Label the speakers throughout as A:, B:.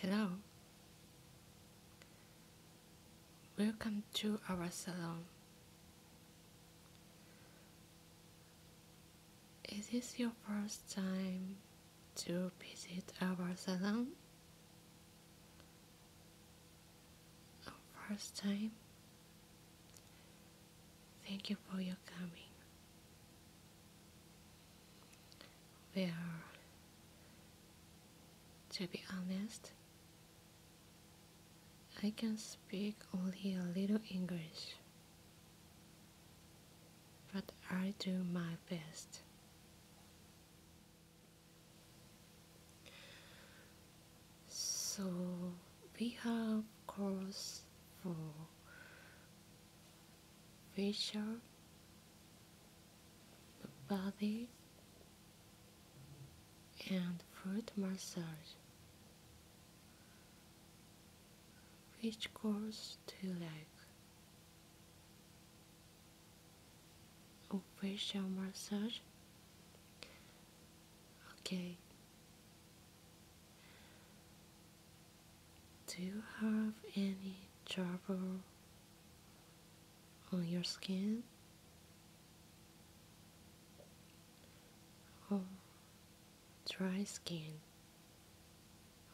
A: Hello. Welcome to our salon. Is this your first time to visit our salon? First time? Thank you for your coming. Well, to be honest, I can speak only a little English, but I do my best. So we have course for Facial, body, and foot massage, which course do you like? Oh, facial massage. Okay. Do you have any trouble on your skin? Or oh, dry skin?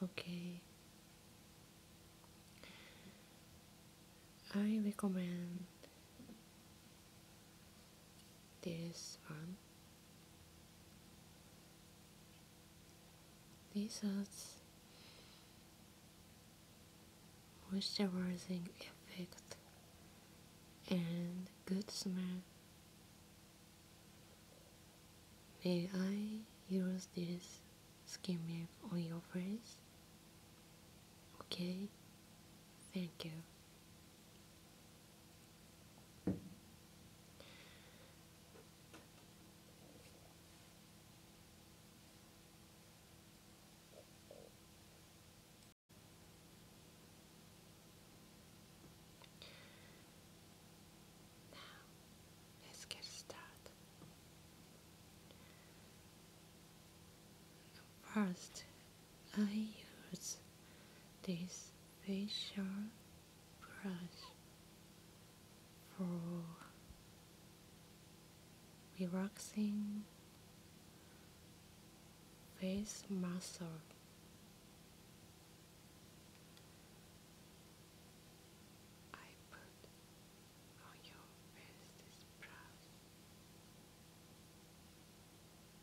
A: Okay. I recommend this one these has moisturizing effect and good smell. May I use this skin milk on your face? Okay, thank you. Now, let's get started. First, I use this facial brush for relaxing face muscle. I put on your face this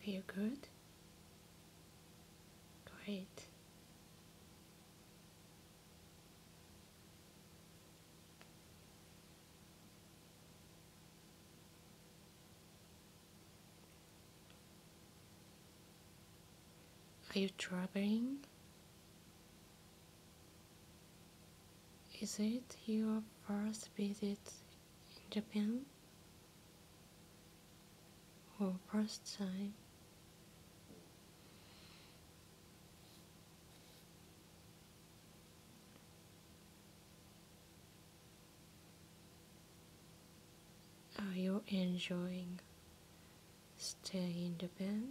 A: Feel good? Great. Are you traveling? Is it your first visit in Japan for first time. Are you enjoying staying in Japan?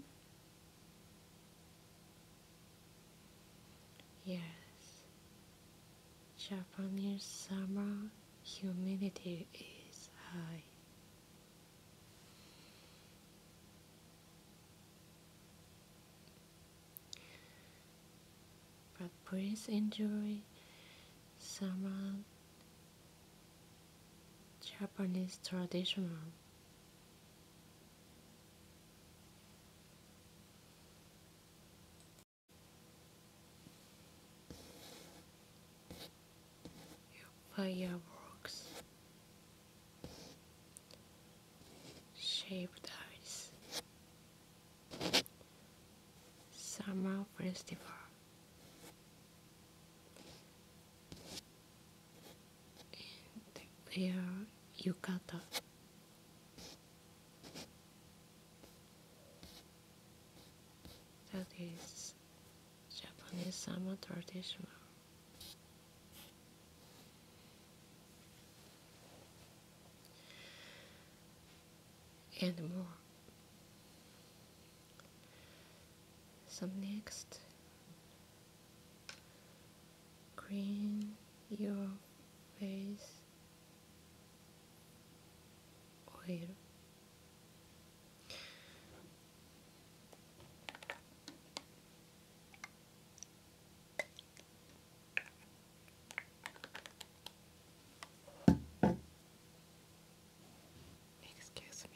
A: Yes, Japanese summer humidity is high. But please enjoy summer Japanese traditional fireworks shaped ice, summer festival and their yukata that is Japanese summer traditional. And more. Some next green your face oír. Excuse me.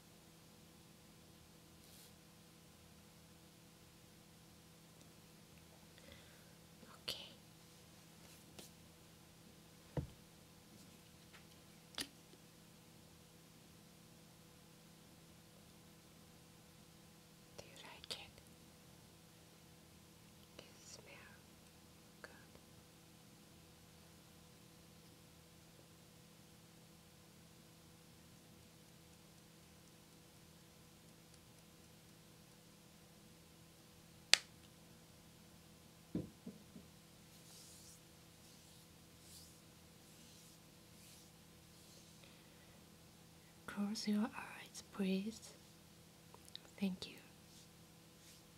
A: Okay. Do you like it? It smells good. Close your eyes, please. Thank you.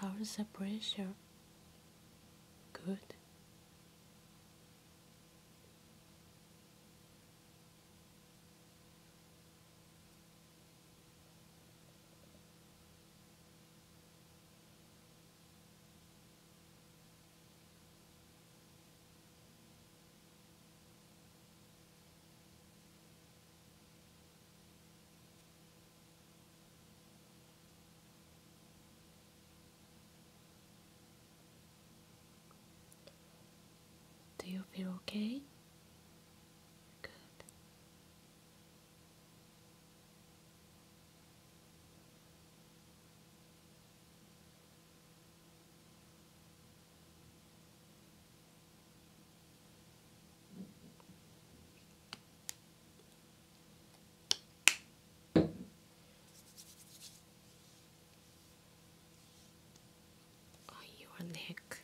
A: How's the pressure? Good. Do you feel okay? Good on your neck.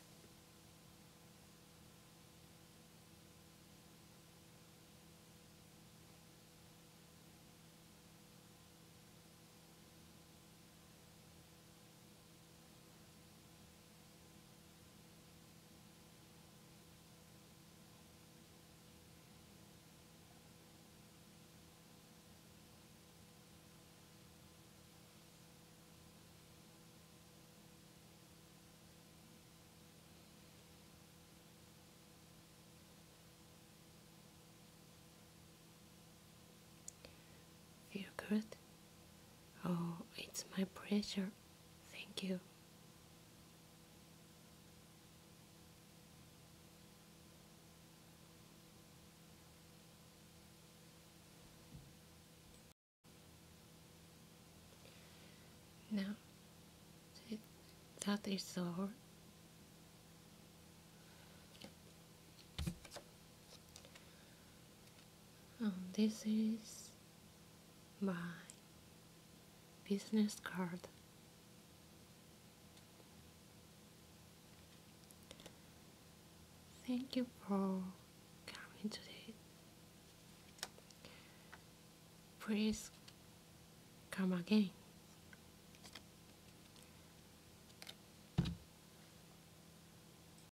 A: Feel good Oh, it's my pleasure. Thank you. Now, that is all. Um, this is my business card. Thank you for coming today. Please come again.